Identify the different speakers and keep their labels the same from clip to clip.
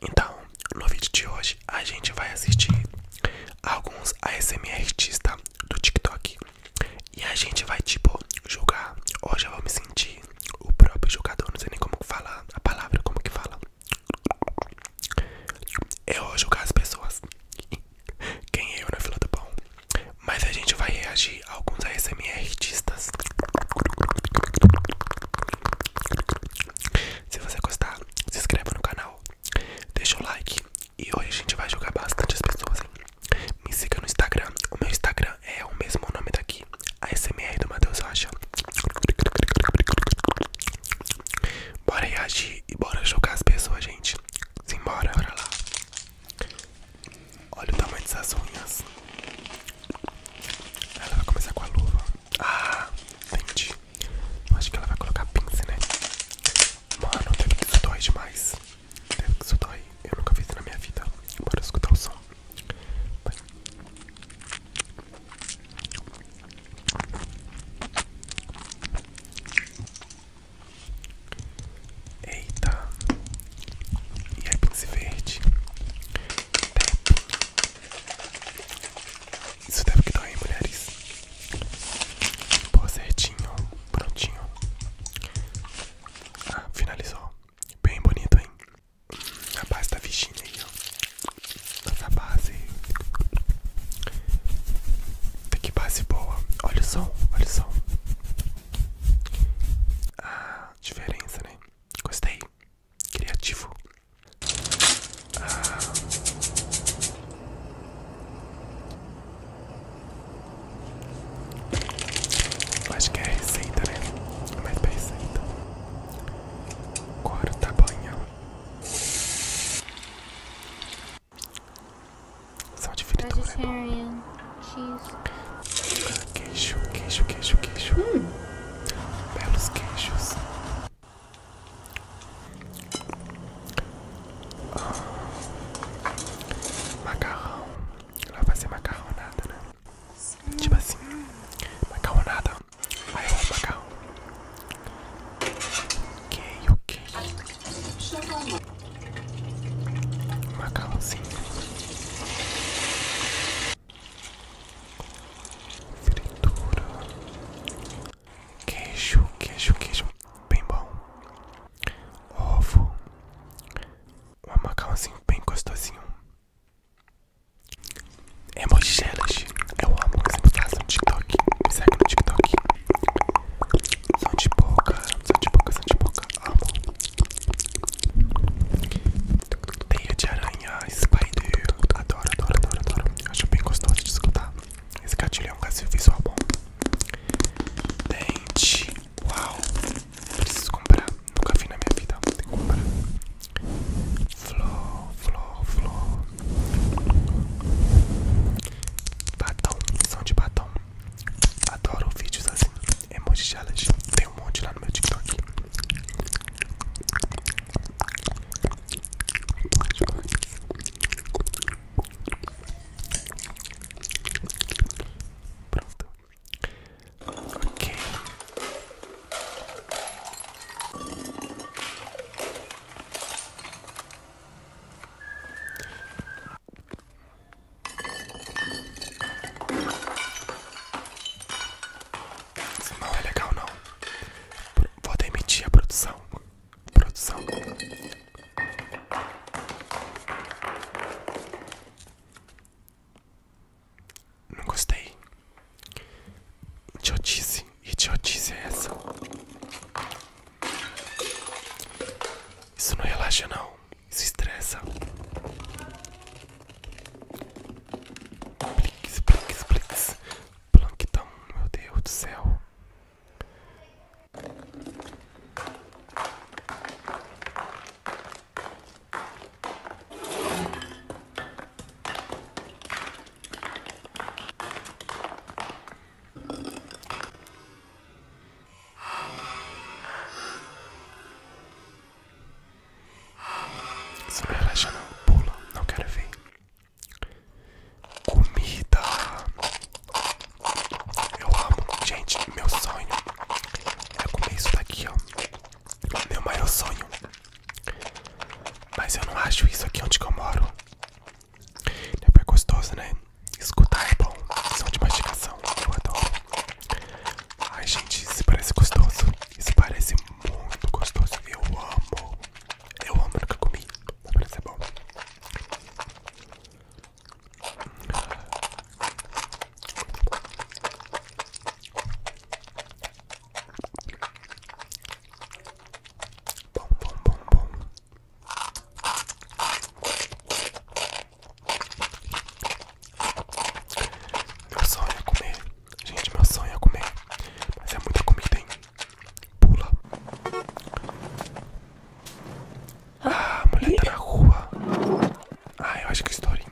Speaker 1: Então, no vídeo de hoje a gente vai assistir alguns ASMR artistas tá? do TikTok e a gente vai tipo julgar. Hoje eu vou me sentir o próprio jogador, não sei nem como falar a palavra, como que fala. Eu vou julgar as pessoas. Quem é eu na fila do bom Mas a gente vai reagir a alguns ASMR artistas se você gostar, se inscreva no canal, deixa o like e hoje a gente vai jogar bastante as pessoas. Me siga no Instagram, o meu Instagram é o mesmo nome daqui, ASMR do Matheus Rocha. Bora reagir e bora jogar as pessoas, gente. Simbora, bora lá. Olha o tamanho dessas unhas. Ela vai começar com a luva. Ah, entendi. acho que ela vai colocar pince, né? Mano, deve que isso dói demais. Deve que isso dói. Eu nunca fiz na minha vida. Bora escutar o som. Eita. E aí, pince verde. Até isso deve que dói, mulheres? Pô, certinho, prontinho. Ah, finalizou. Bem bonito, hein? A base da Virginia aí, ó. Essa base. Que base boa. Olha o som, olha o som. Ah, diferença, né? Gostei criativo. Ah. Acho que é receita, né? É mas pra receita. Agora o tamanho. Só de fritura é Queijo, queijo, queijo, queijo. Hum. Belos queijos. Ah. Macarrão. Ela vai ser macarronada, né? Tipo assim, macarronada. Aí eu amo macarrão. Queijo, queijo. Macarrãozinho fritura, queijo, queijo, queijo, bem bom, ovo, um macarrão bem gostosinho, emoji challenge, eu amo as postagens no TikTok, me segue no TikTok, são de boca, são de boca, são de boca, amo. Teia de aranha, spider, adoro, adoro, adoro, adoro. Acho bem gostoso de escutar. Esse gatilho é um gatilho visual bom. Dente, uau, preciso comprar. Nunca vi na minha vida, tem que comprar. Flor, flor, flor. Batom, som de batom. Adoro vídeos assim emoji challenge. Tem um monte lá no meu TikTok. Pronto. Ok. Isso não é legal não. Vou demitir a produção. Produção. Não gostei. que Idiotice. Idiotice é essa. Isso não relaxa não se estressa. Blix, blix, blix. Plankton, meu Deus do céu. Se me relaxa não, pula, não quero ver. Comida. Eu amo. Gente, meu sonho é comer isso daqui, ó. Meu maior sonho. Mas eu não acho isso aqui onde eu moro. É bem gostoso, né? Escutar é tá bom, som de mastigação, eu adoro. Ai gente, isso parece gostoso. Isso parece muito gostoso. Eu amo. Eu amo, nunca comi. Mas parece bom. Bom, bom, bom, bom. Meu sonho é comer. Gente, meu sonho é comer. Mas é muita comida, Pula. Ah, a mulher da tá rua. Ai, ah, eu acho que historinha.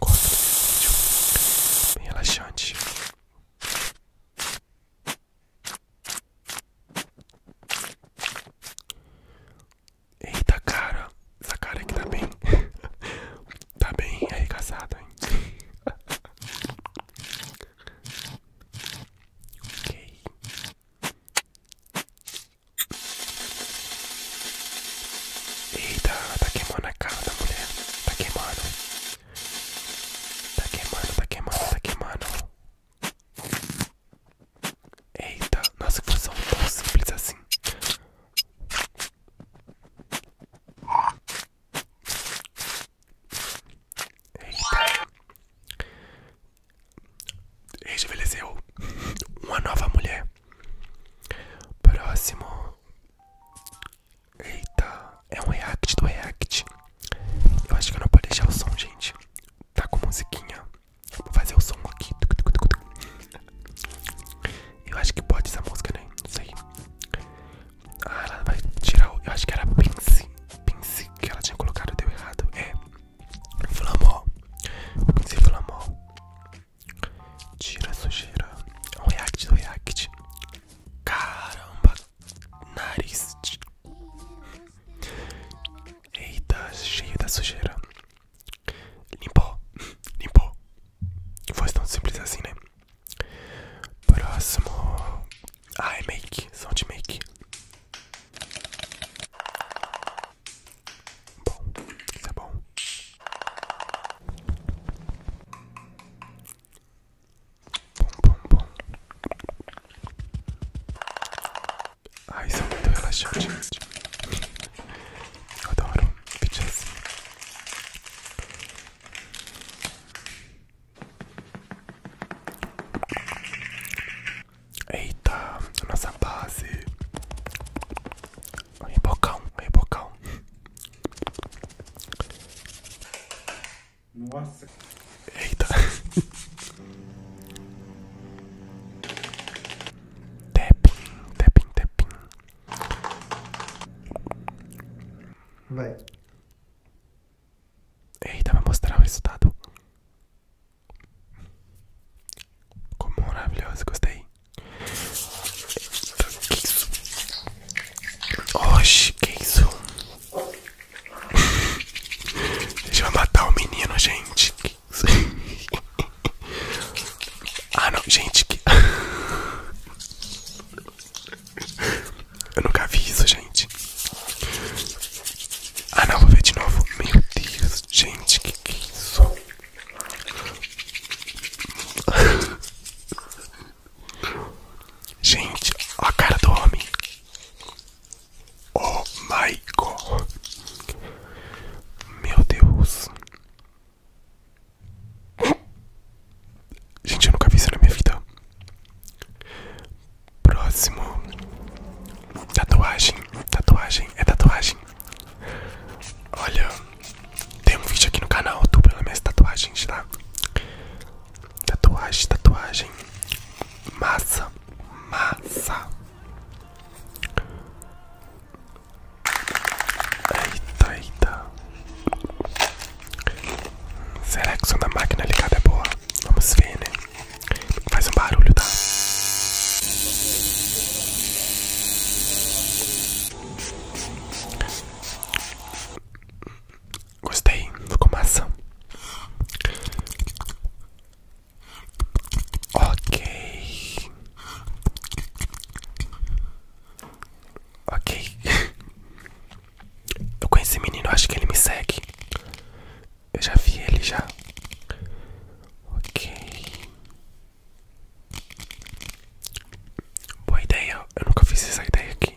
Speaker 1: Gosto desse vídeo. Bem relaxante. Eita, cara. Essa cara aqui tá bem. tá bem aí caçada, hein? ok. Eita, tá queimando a cara da mulher. Tá queimando. Tá queimando, tá queimando, tá queimando. Eita, nossa, que função tão simples assim. Eita. Rejuvenesceu uma nova mulher. Próximo. Eita, é um react do react. Eu acho que eu não posso deixar o som, gente. Tá com musiquinha. Vou fazer o som aqui. Eu acho que pode essa música, né? Não sei. Ah, ela vai tirar o. Eu acho que era Pince. Pince que ela tinha colocado, deu errado. É. Flamó. Pince Flamó. Tira a sujeira. É um react do react. Caramba. Nariz. Eita, cheio da sujeira. Limpou, limpou. Foi tão simples assim, né? Próximo. Ah, é make, são make. Bom, isso tá é bom. Bom, bom, bom ai isso é muito relaxante, gente. Eu adoro vídeos assim. Eita, nossa base. Rebocão, rebocão. Nossa. Eita. Tapping, tapping, tapping. Vai. Eita, vai mostrar o resultado. Como maravilhoso, gostei. Eita, que isso? Oxi, que isso? Deixa eu matar o menino, gente. Ah, não, gente. Eu nunca vi isso, gente. Ah, não, vou ver de novo. Meu Deus, gente, que que é isso? Gente, ó a cara do homem. Oh my god. Meu Deus. Gente, eu nunca vi isso na minha vida. Próximo. Tatuagem. Tatuagem. É tatuagem. Olha. Tem um vídeo aqui no canal do pelas minhas tatuagens, tá? Tatuagem, tatuagem. Massa massa. Eita, eita. Será que o som da máquina ligada é boa? Vamos ver, né? Faz um barulho, tá? Gostei, ficou maçã. Ok. Ok. Eu conheci o menino, acho que ele me segue. Eu já vi ele já. Ok. Boa ideia. Eu nunca fiz essa ideia aqui.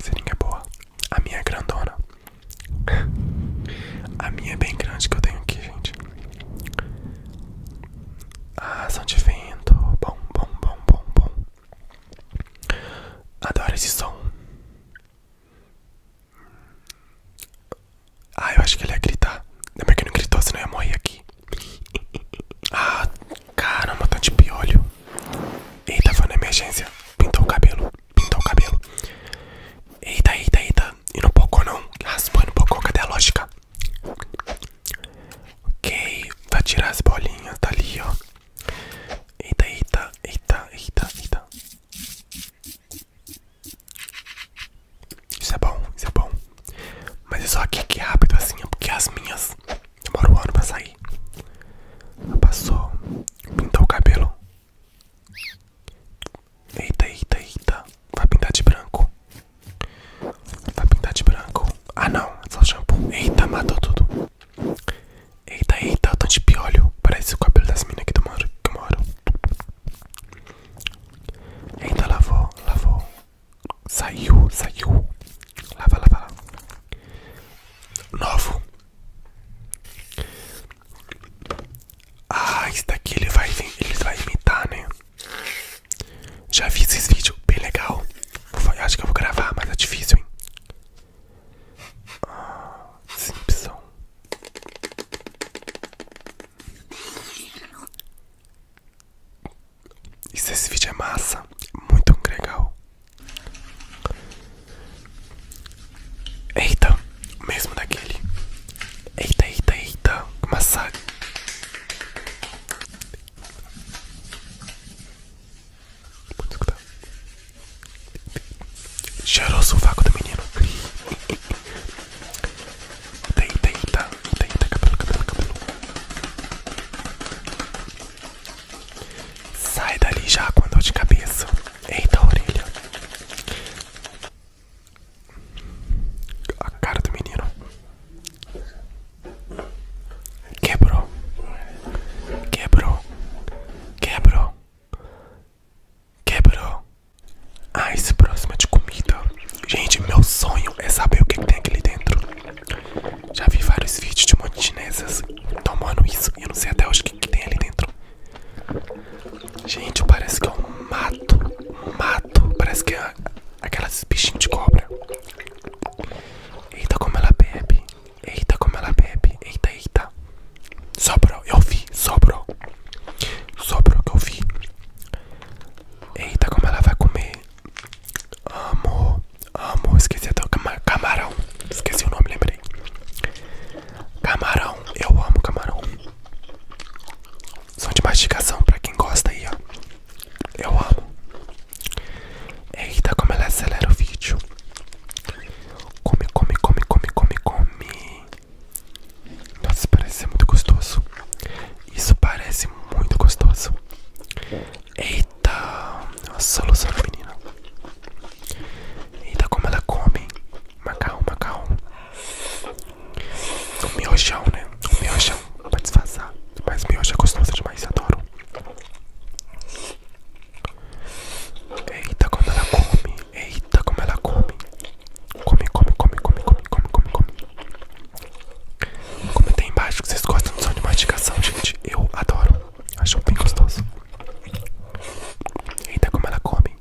Speaker 1: Seringa é boa. A minha é grandona. A minha é bem grande que eu tenho aqui, gente. Ah, som de vento. Bom, bom, bom, bom, bom. Adoro esse som. Ah, eu acho que ele ia gritar. Lembra que ele não gritou, senão ia morrer aqui. Ah, caramba, tanto de piolho. Eita, foi na emergência. Pintou o cabelo. Pintou o cabelo. Eita, eita, eita. E não pocou não. Raspou e não pocou. Cadê a lógica? Ok. Vai tirar as bolinhas. Tá ali, ó. Eita, eita, eita, eita, eita. Isso é bom, isso é bom. Mas é só aqui que é rápido assim, é porque as minhas Demora um ano pra sair. Passou. Pintou o cabelo. Eita, eita, eita. Vai pintar de branco. Vai pintar de branco. Ah não, é só shampoo. Eita, matou tudo. Eita, eita, o tanto de piolho. Parece o cabelo das minas aqui do que eu moro. Eita, lavou, lavou. Saiu, saiu. Lava, lava, lava. Novo. Ah, esse daqui ele vai, ele vai imitar, né? Já fiz esse vídeo, bem legal. acho que eu vou gravar, mas é difícil, hein? Ah, Simpson. Isso, esse vídeo é massa, muito legal. Eita, mesmo daquele. Eita, eita, eita, que massagem. Pode escutar. Tá. Cheiroso o vácuo do menino. eita, eita, eita, cabelo, cabelo, cabelo. Sai dali já com a dor de cabeça. Eita, orelha. A cara do menino. Quebrou. Quebrou. Quebrou. Quebrou. Ah, esse próximo é de comida. Gente, meu sonho é saber o que, que tem aqui dentro. Já vi vários vídeos de um monte de chinesas tomando isso e eu não sei até hoje o que, que tem ali dentro. Gente, parece que é um mato. Um mato. Parece que é aquelas bichinhas de cobra. Eita, como ela bebe. Eita, como ela bebe. Eita, eita. Sobrou, eu vi. Sobrou. Sobrou que eu vi. Eita, como ela vai comer. Amo, amo. Esqueci até o camarão. Esqueci o nome, lembrei. Camarão, eu amo camarão. Som de mastigação pra quem gosta aí, ó. Eu amo. Eita, como ela acelera o vídeo. Come, come, come, come, come, come. Nossa, parece ser muito gostoso. Isso parece muito gostoso. Eita, nossa, alucinada menina. Eita, como ela come macarrão, macarrão. O miojão, né? O miojão, pra desfazer. Mas miojo é gostoso demais, adoro. Eita, como ela come. Eita, como ela come. Come, come, come, come, come, come, come, come. Comenta aí embaixo que vocês gostam do som de mastigação, gente. Eu adoro. Acho bem gostoso. Eita, como ela come.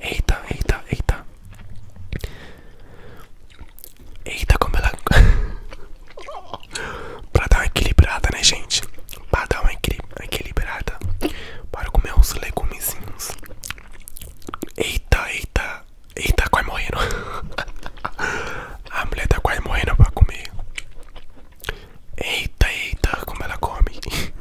Speaker 1: Eita, eita, eita. Eita, como ela. pra dar uma equilibrada, né, gente? Pra dar uma equilibrada. Para comer uns legumezinhos. Eita, eita. Eita, tá quase morrendo. A mulher tá quase morrendo pra comer. Eita, eita, como ela come.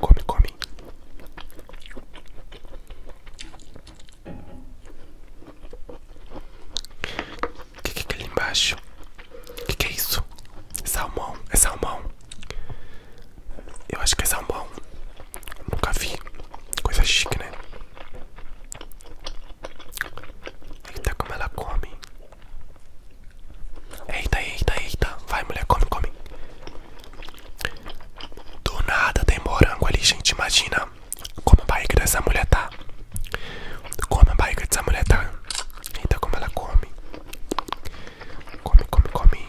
Speaker 1: Come, come. O que, é ali embaixo? O que é isso? É salmão, é salmão. Eu acho que é salmão. Nunca vi. Coisa chique, né? Eita, como ela come. Eita, eita, eita. Vai, mulher, come, come. Do nada tem morango ali, gente. Imagina como a barriga essa mulher tá. Como a barriga essa mulher tá. Eita, como ela come. Come, come, come.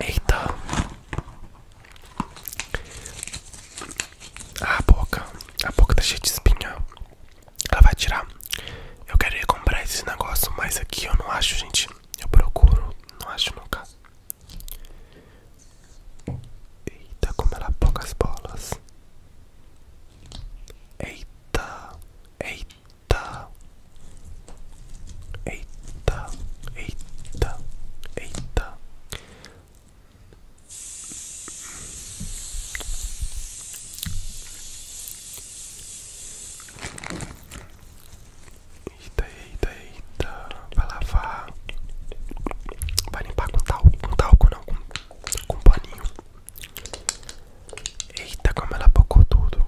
Speaker 1: Eita. A boca. A boca tá cheia de espinha. Ela vai tirar. Eu queria comprar esse negócio, mas aqui eu não acho, gente. Eu procuro, não acho nunca. Eita, como ela as bolas. Eita, eita. Eita, eita, eita, eita. Eita, eita, eita. Vai lavar. Vai limpar com talco. Com talco não, com, com paninho. Eita, como ela bocou tudo.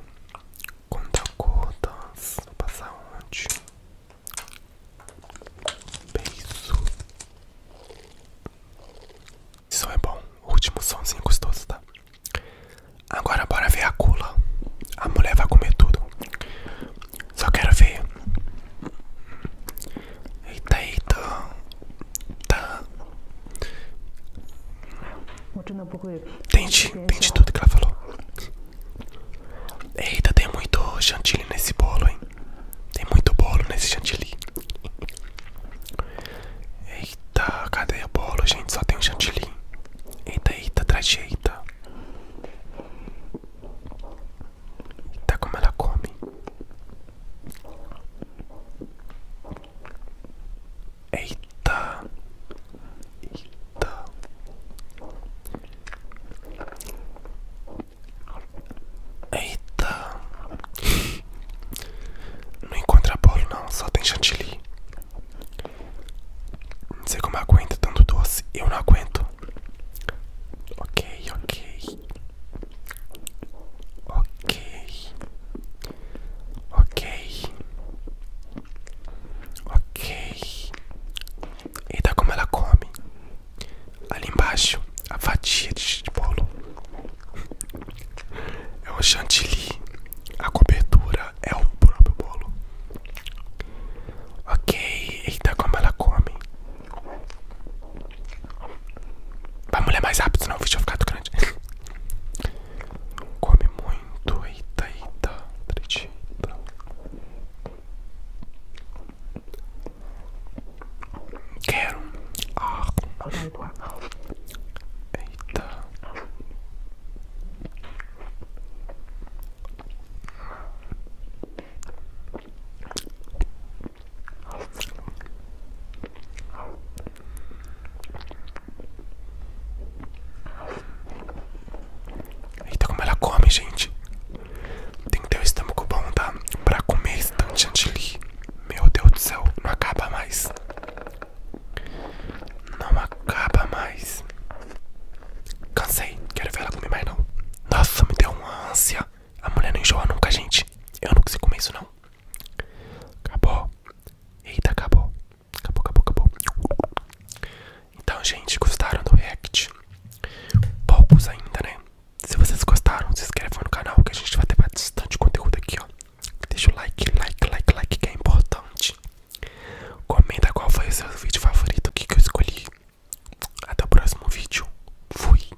Speaker 1: Conta gotas. Vou passar onde? Beijo. Isso é bom. O último sonsinho gostoso, tá? Agora bora ver a cula. A mulher vai comer tudo. Só quero ver. Eita, eita. Tá. Tente, tente é tudo que ela falou. Eita, tem muito chantilly nesse bolo, hein? Tem muito bolo nesse chantilly. Eita, cadê o bolo, gente? Só tem um chantilly. Eita, eita, trajeita. Eita, como ela come. Eita, eita, eita. Não encontra bolo não, só tem chantilly. Não sei como aguenta tanto doce, eu não aguento. Ok, ok. Ok, ok, ok. Eita, como ela come ali embaixo a fatia de bolo. É um chantilly, a cobertura é o próprio bolo. Ok, eita, como ela come. Vai mulher mais rápido, senão o vídeo vai ficar do grande. Come muito, eita, eita, tritita. Quero. Eita. Eita, como ela come, gente. Tem que ter o estômago bom, tá? Pra comer esse tanto de chantilly. Meu Deus do céu, não acaba mais. Não acaba mais. Cansei, quero ver ela comer mais não. Nossa, me deu uma ânsia. A mulher não enjoa nunca, gente. Eu não consigo comer isso não. Acabou. Eita, acabou. Acabou, acabou, acabou. Então, gente, gostaram do react? Poucos ainda, né? Se vocês gostaram, se inscrevam no canal que a gente vai ter bastante conteúdo aqui, ó. Deixa o like, like, like, like, que é importante. Comenta qual foi o seu vídeo favorito, o que, que eu escolhi. Até o próximo vídeo. Fui.